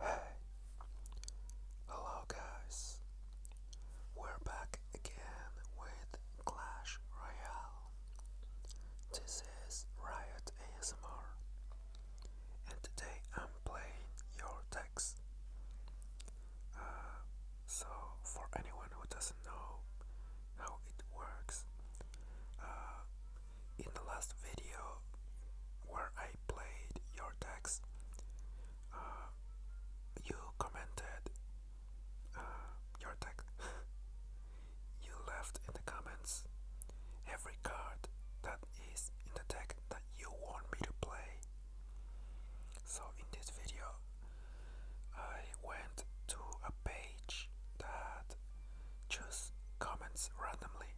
Hey, hello guys, we're back again with Clash Royale. This is Riot ASMR, and today I'm playing your text. Uh, so, for anyone who doesn't know how it works, uh, in the last video where I played your decks, uh, you commented uh, your deck. you left in the comments every card that is in the deck that you want me to play. So in this video, I went to a page that just comments randomly.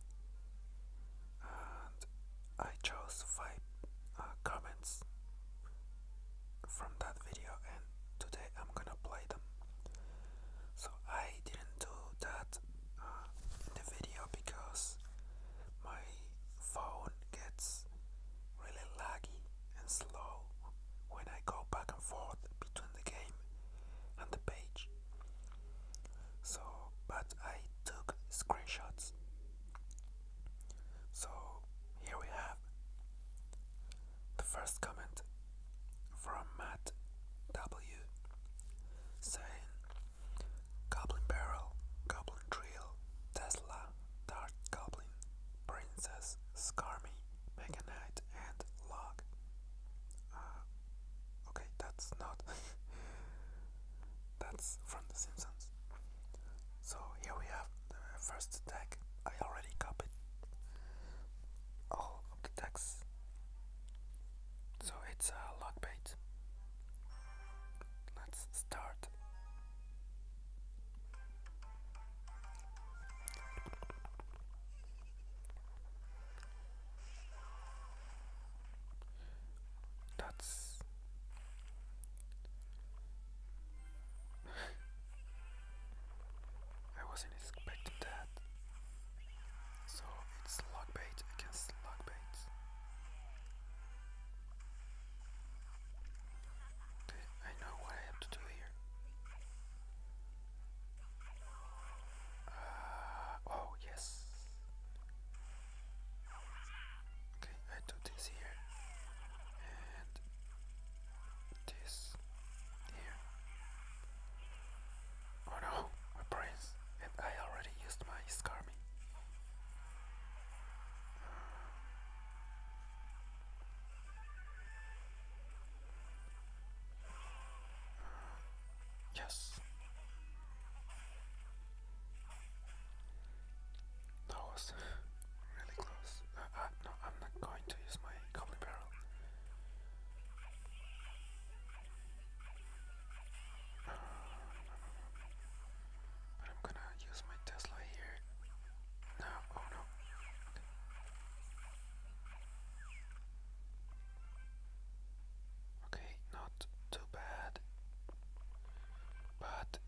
I chose five uh, comments from that video and today I'm gonna play them so I didn't do that uh, in the video because my phone gets really laggy and slow when I go back and forth between the game and the page so but I took screenshots so here we have the first comment from Matt W saying Goblin Barrel, Goblin Drill, Tesla, Dark Goblin, Princess, Skarmy, Mega and Log. Uh, Okay, that's not. that's from The Simpsons. So here we have the first tag. I already copied all of the tags. So it's a lock bait. Let's start. That's I wasn't expecting that. So it's slug bait against slug bait. Okay, I know what I have to do here. Uh, oh yes. Okay, I do this here and this here. Oh no, my brains, and I already used my scarmy. Yes. That was really close. Uh, uh, no, I'm not going to use my goblin barrel. but I'm gonna use my Tesla here. No, oh no. Okay, not too bad, but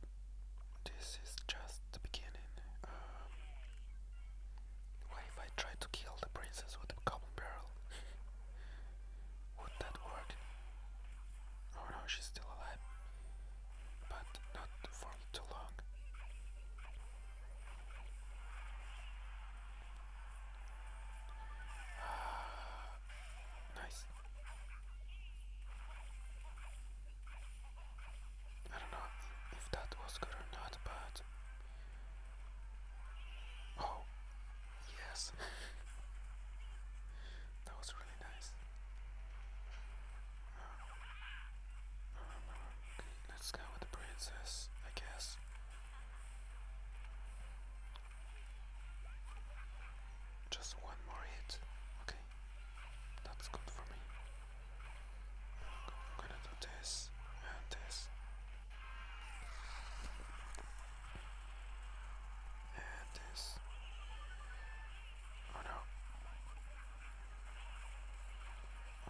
this is just the beginning. Um, what if I try to kill the princess with a common barrel? Would that work? Oh no, she's still alive, but not for too long. nice. I don't know if that was good or not, but. Oh, yes. that was really nice. Uh, uh, okay, let's go with the princess, I guess. Just one more hit. Okay. That's good for me. I'm gonna do this and this. And this. Oh no.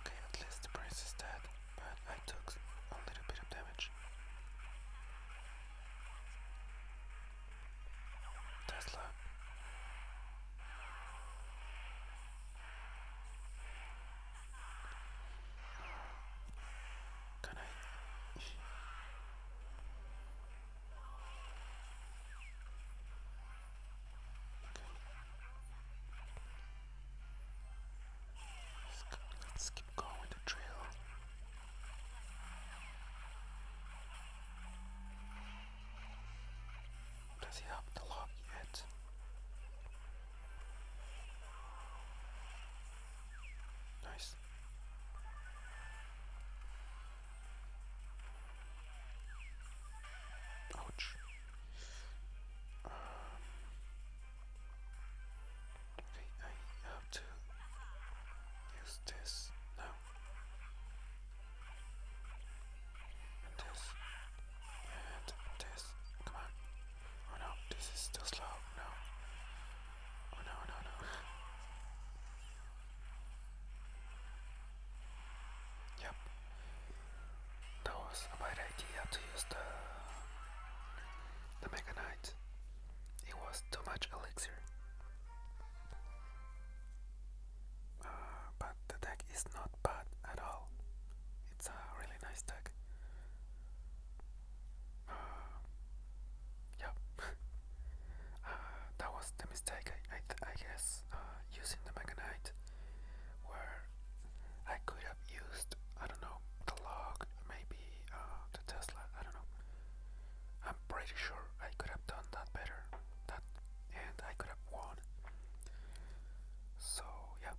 Okay, at least the prince is dead, but I took a little bit of damage. Tesla. Can I? Let's, let's keep going the trail. Does he have the lock yet? Nice. Ouch. Um, I have to use this now. this. And this. Come on. Oh no, this is still slow. No. Oh no, no, no. yep. That was a bad idea to use the the meganite. It was too much elixir. Uh, but the deck is not bad at all. It's a really nice deck. Uh, uh that was the mistake, I, I, guess, uh, using the Mega where I could have used, I don't know, the log, maybe uh, the Tesla. I don't know. I'm pretty sure I could have done that better. That and I could have won. So yeah,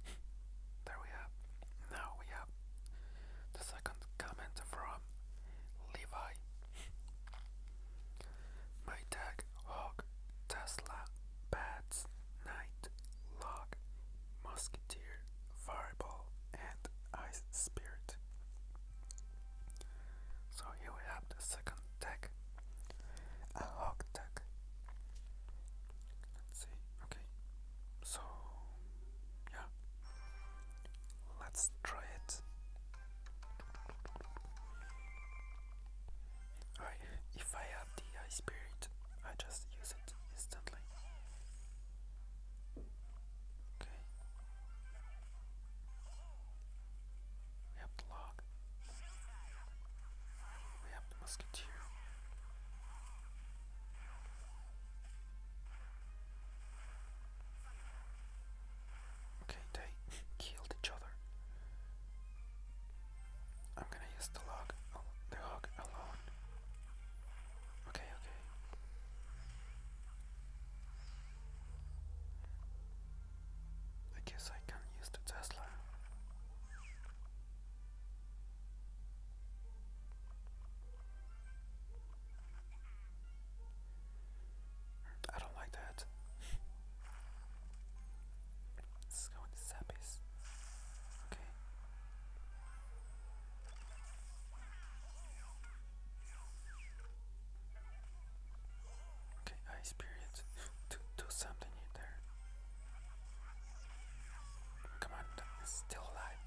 there we have. Now we have the second comment from Levi. My tag hog Tesla bats night log musketeer fireball, and ice spirit. So here we have the second deck, a hog deck. Let's see, okay. So, yeah, let's try it. Alright, if I have the ice spirit, I just use it instantly. Okay. We have the log. We have the musketeer. Okay, they killed each other. I'm gonna use the log, the hog alone. Okay, okay. I guess I can use the Tesla. I don't like that. Let's go with the zappies. Okay. Okay, I spirit to do something in there. Come on, still alive.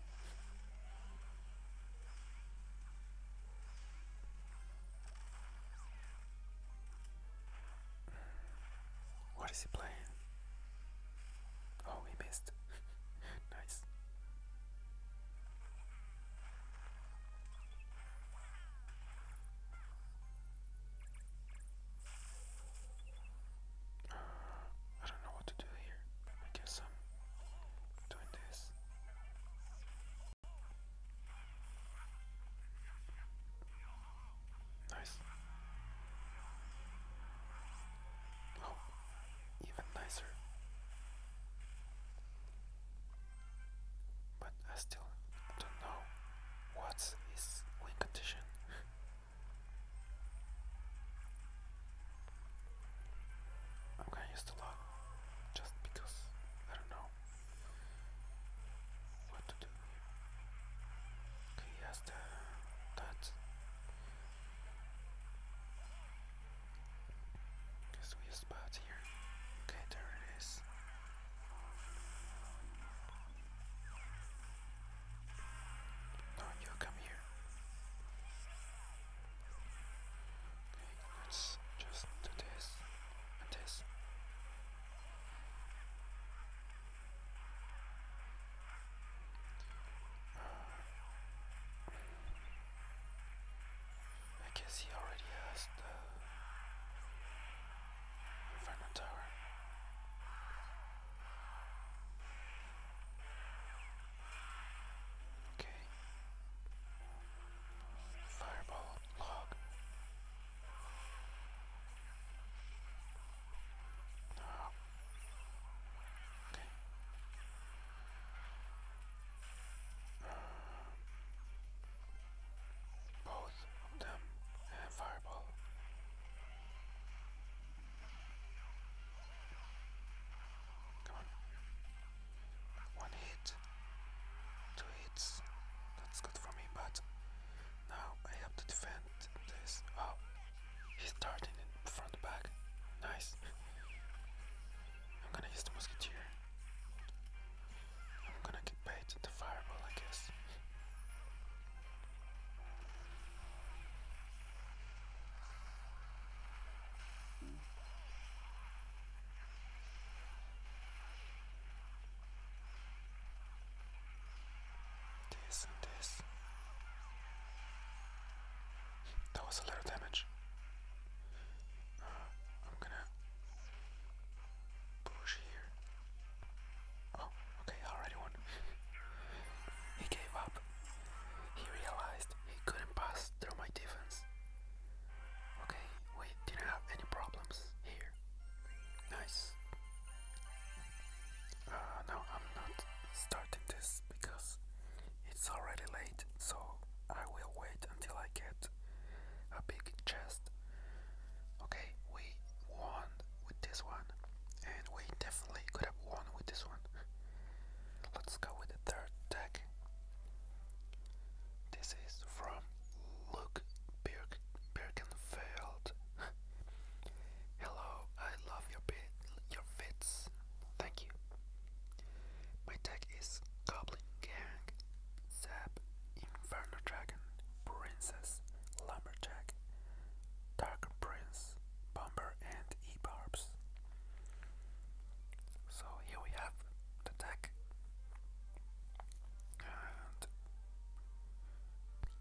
What is he playing? Oh, he missed. nice. I don't know what to do here. I guess I'm doing this. Nice. Oh, even nicer. But I still don't know what's his condition. I'm gonna use the log just because I don't know what to do. he has the that this weird spot here. Okay, there it is. No, you come here. let's just do this this. Uh, I guess he already has the Inferno Tower. Okay. Fireball log. Ah. Okay. Both of them have fireball. Come on. One hit. Two hits. That's good for me, but now I have to defend this. Oh, he's starting in front back. Nice. I'm gonna use the musketeer. I'm gonna get bait the fireball, I guess. This and this. That was a lot of damage. Uh, I'm gonna push here. Oh, okay, already won. he gave up. He realized he couldn't pass through my defense. Okay, we didn't have any problems here. Nice. Uh, no, I'm not starting this because it's already late so I will wait until I get a big chest. Okay, we won with this one, and we definitely could have won with this one. Let's go with the third deck. This is from Luke Birkenfeld. Hello, I love your fits. Thank you. My deck is Goblin Gang, Zap, Inferno Dragon, Princess, Lumberjack, Dark Prince, Bomber, and E-Barbs. So here we have the deck.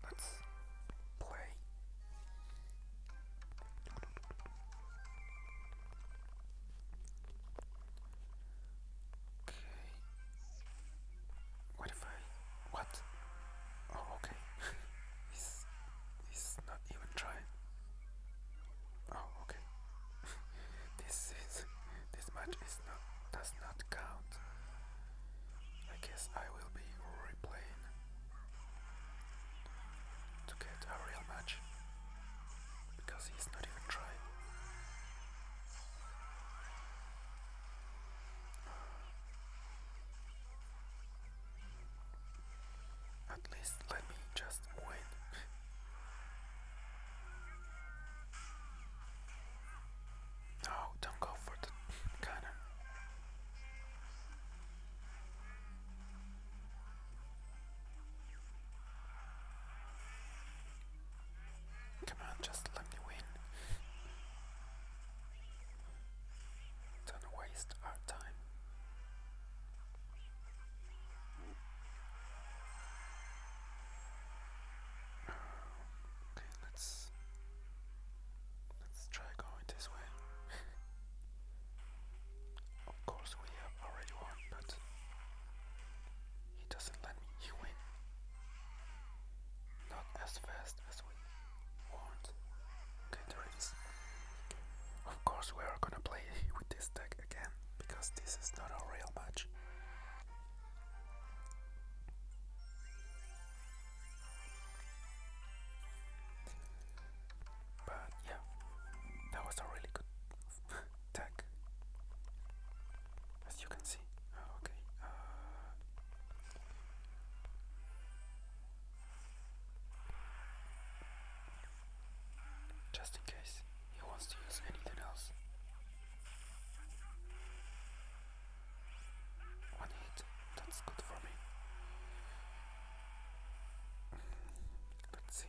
let's play. Okay. What if I what? Oh okay. he's he's not even trying. Oh okay. this is this match is not does not count. I guess I will be replaying to get a real match. Because he's not even trying. At least let me just win. no, oh, don't go for the cannon. Come on, just let me win. Don't waste our time. Okay, let's let's try going this way. Of course we have already won, but he doesn't let me win. Not as fast as we want. Okay, Of course we are gonna play with this deck again, because this is not a real match. But yeah, that was a really good tag as you can see ah, okay uh, just in case he wants to use anything else one hit that's good for me Let's see.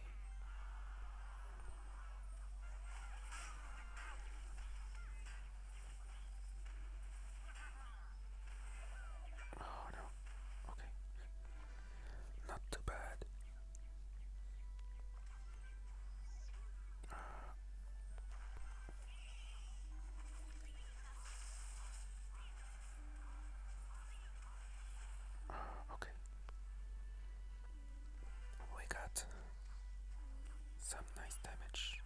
Oh no. Okay. Not too bad. Okay. We got some nice damage.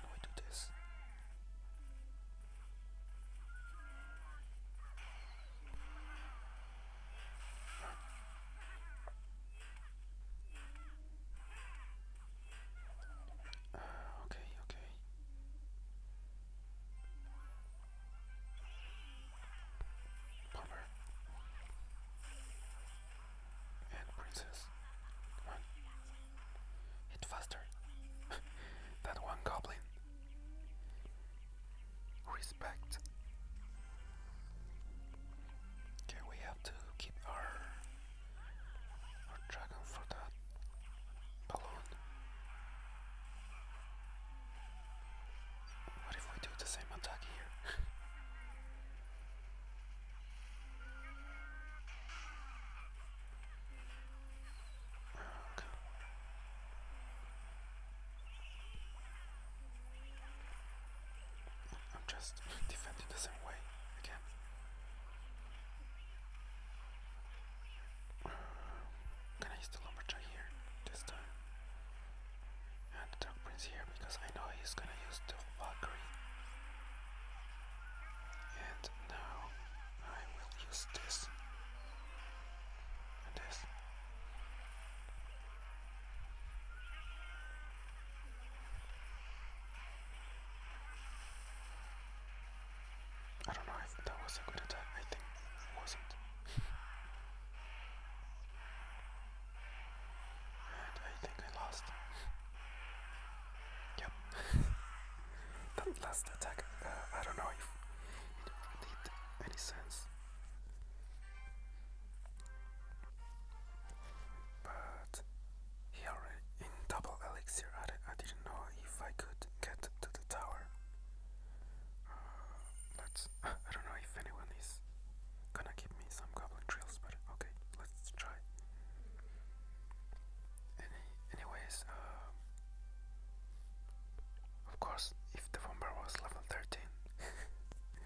can we do this? okay, okay. Bomber and princess. Come Hit faster. that one goblin respect. Okay, we have to keep our our dragon for that balloon. What if we do the same attack here? okay. I'm just defending the same way again. can I use the lumberjack here this time? And the dark prince here because I know he's gonna use the valkyrie. And now I will use this this. I don't know if that was a good attack, I think it wasn't. and I think I lost. yep. that last attack, uh, I don't know if it made any sense. But here in Double Elixir, I, didn't know if I could get to the tower. Uh, let's. I don't know if anyone is gonna give me some goblin Trails, but okay, let's try. anyways, uh, of course, if the bomber was level 13.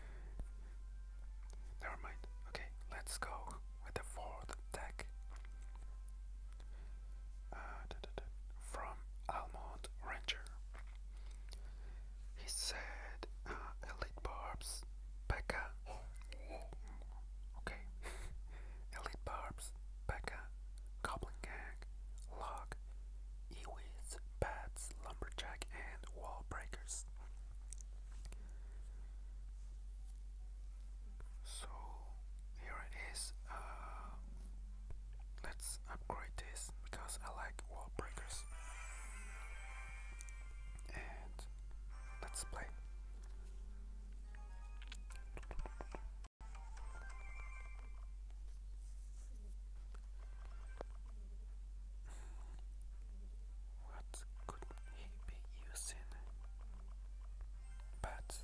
Never mind. Okay, let's go with the fourth deck. Uh, From Almond Ranger. He said uh, Elite Barbs, Becca. Okay. Elite Barbs, Becca, Goblin Gang, Log, ewies, bats, lumberjack, and wall breakers. So here it is. Uh, let's upgrade this because I like wall breakers. And let's play. What could he be using? But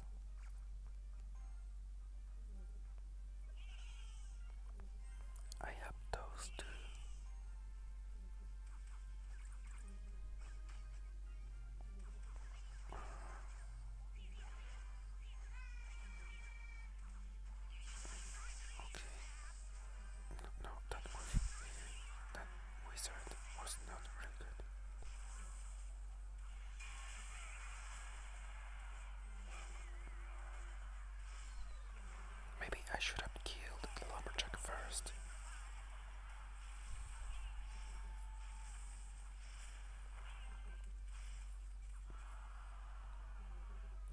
I have those Okay. No, that wizard was not really good. Maybe I should have killed the lumberjack first.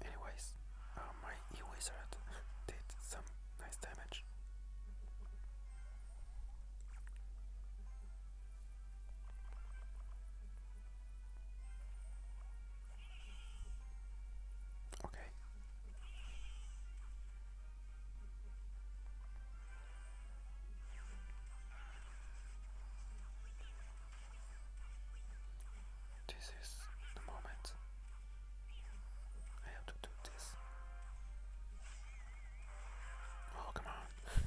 Anyways, uh, my e-wizard did some nice damage. Okay. This is the moment. I have to do this. Oh, come on.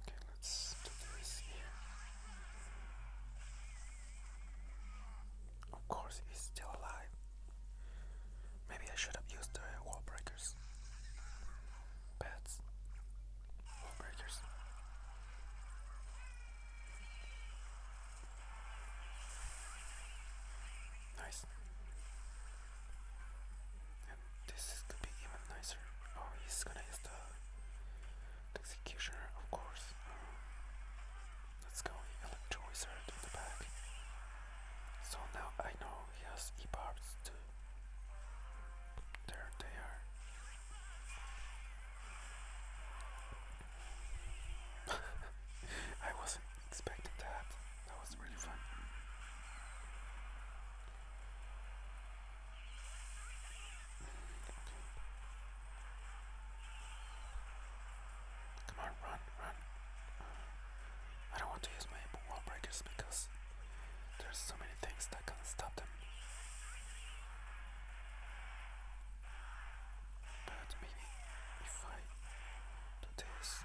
okay, let's do this here. Of course, he's still alive. Maybe I should have used the wall breakers. Pads. Wall breakers. Nice. And this could be even nicer. Oh, he's gonna use the, executioner, of course. let's go, electroizer to the back. So now I know yes, e-parts too. There they are. I wasn't expecting that. That was really fun. Come on, run. I don't want to use my wall breakers because there's so many things that can stop them. But maybe if I do this.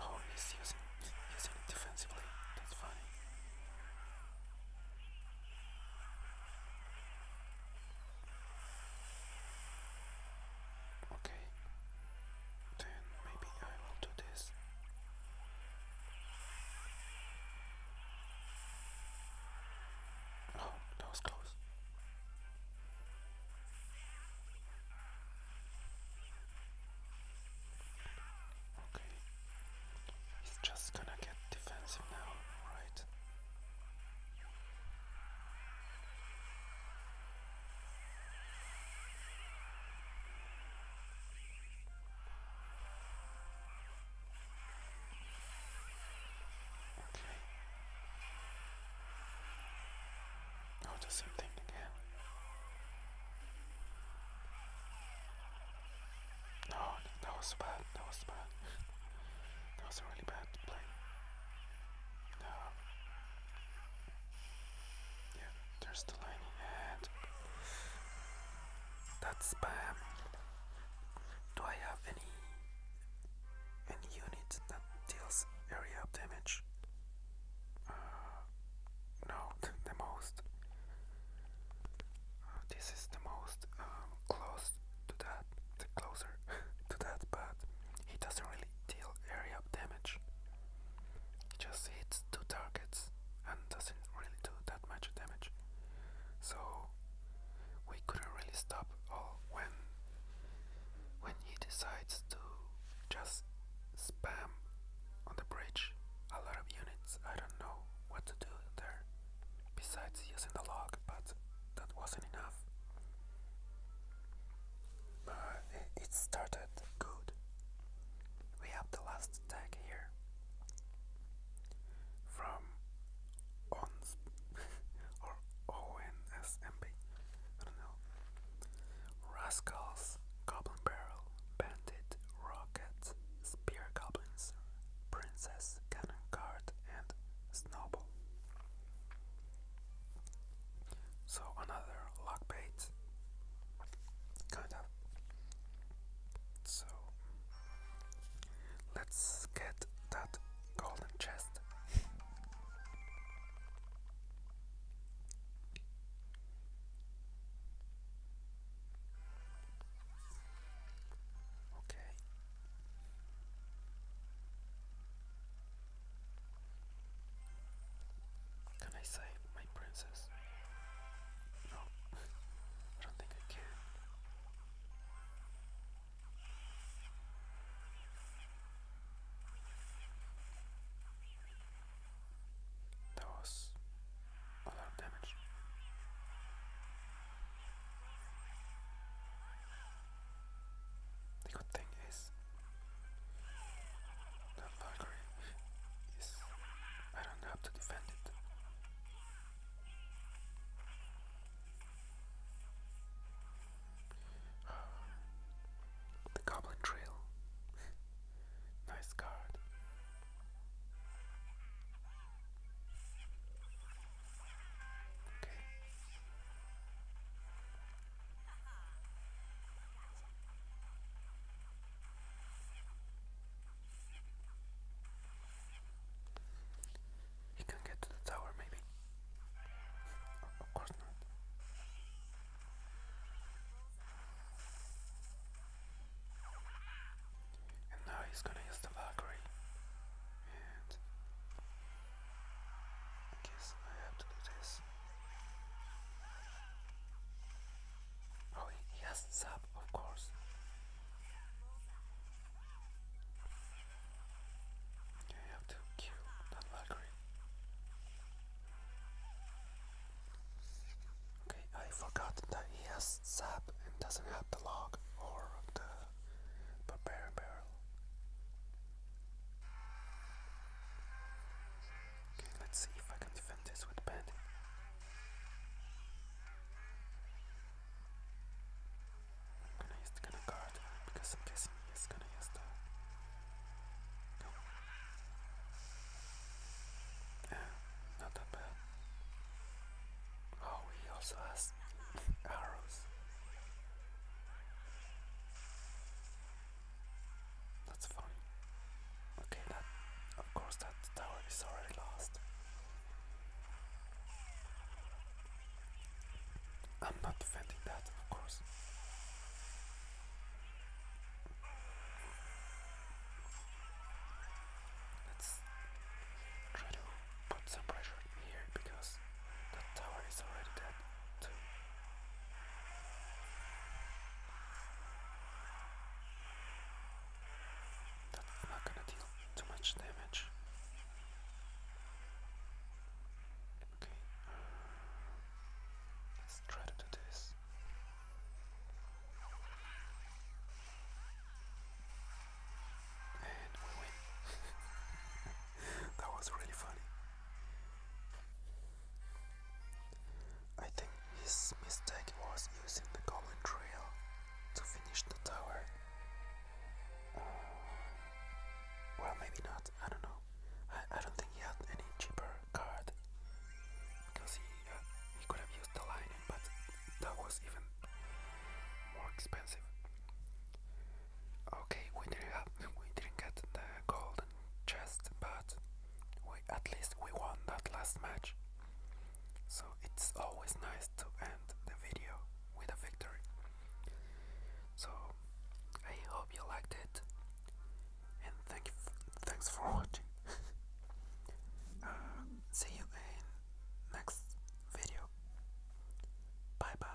Oh, he's using, using defensively. That's funny. Okay, then maybe I will do this. Oh, that was close. Okay. He's just gonna get defensive now, right? Okay. Oh, the same thing again. No, that was bad. That was bad. that was a really bad play. No. Yeah, there's the lining and that's spam. Do I have any any unit that deals area damage? Uh, the most. Uh, this is the most um, close to that, closer to that, but he doesn't really really area damage. It just hits two targets and doesn't really do that much damage. So we couldn't really stop all when when he decides to just spam on the bridge a lot of units. I don't know what to do there besides using the log, but that wasn't enough it started good. We have the last tag here from ONS or ONSMB. I don't know. Rascals, Goblin Barrel, Bandit, Rocket, Spear Goblins, Princess, Cannon Guard, and Snowball. So another lock bait, kind of. So let's get that golden chest. Okay. Can I save my princess? No, I don't think I can. That was a lot of damage. The good thing is that Valkyrie is... I don't have to defend it. The Goblin Trail. nice card. Okay. He can get to the tower, maybe. of course not. And now he's gonna use the Valkyrie. And I guess I have to do this. Oh, he, has sap, of course. You have to kill that Valkyrie. Okay, I forgot that he has sap and doesn't have the log or the barbarian barrel. Okay, let's see if I can defend this with bed. I'm gonna use gonna guard because I'm guessing he's gonna use the no. Ah, not that bad. Oh he also has arrows. That's funny. Okay, that of course that tower is already lost. I'm not defending that, of course. Let's try to put some pressure here because that tower is already dead not gonna deal too much damage. Okay, let's try to do this. And we win. that was really funny. I think his mistake was using the Golden Trail to finish the tower. Uh, well, maybe not, I don't know. I, don't think he had any cheaper card because he, uh, he could have used the lining, but that was even more expensive. Okay, we didn't have, we didn't get the golden chest, but we at least we won that last match. So it's always nice to end the video with a victory. So I hope you liked it, and thank thanks for watching. Uh, see you in next video. Bye bye.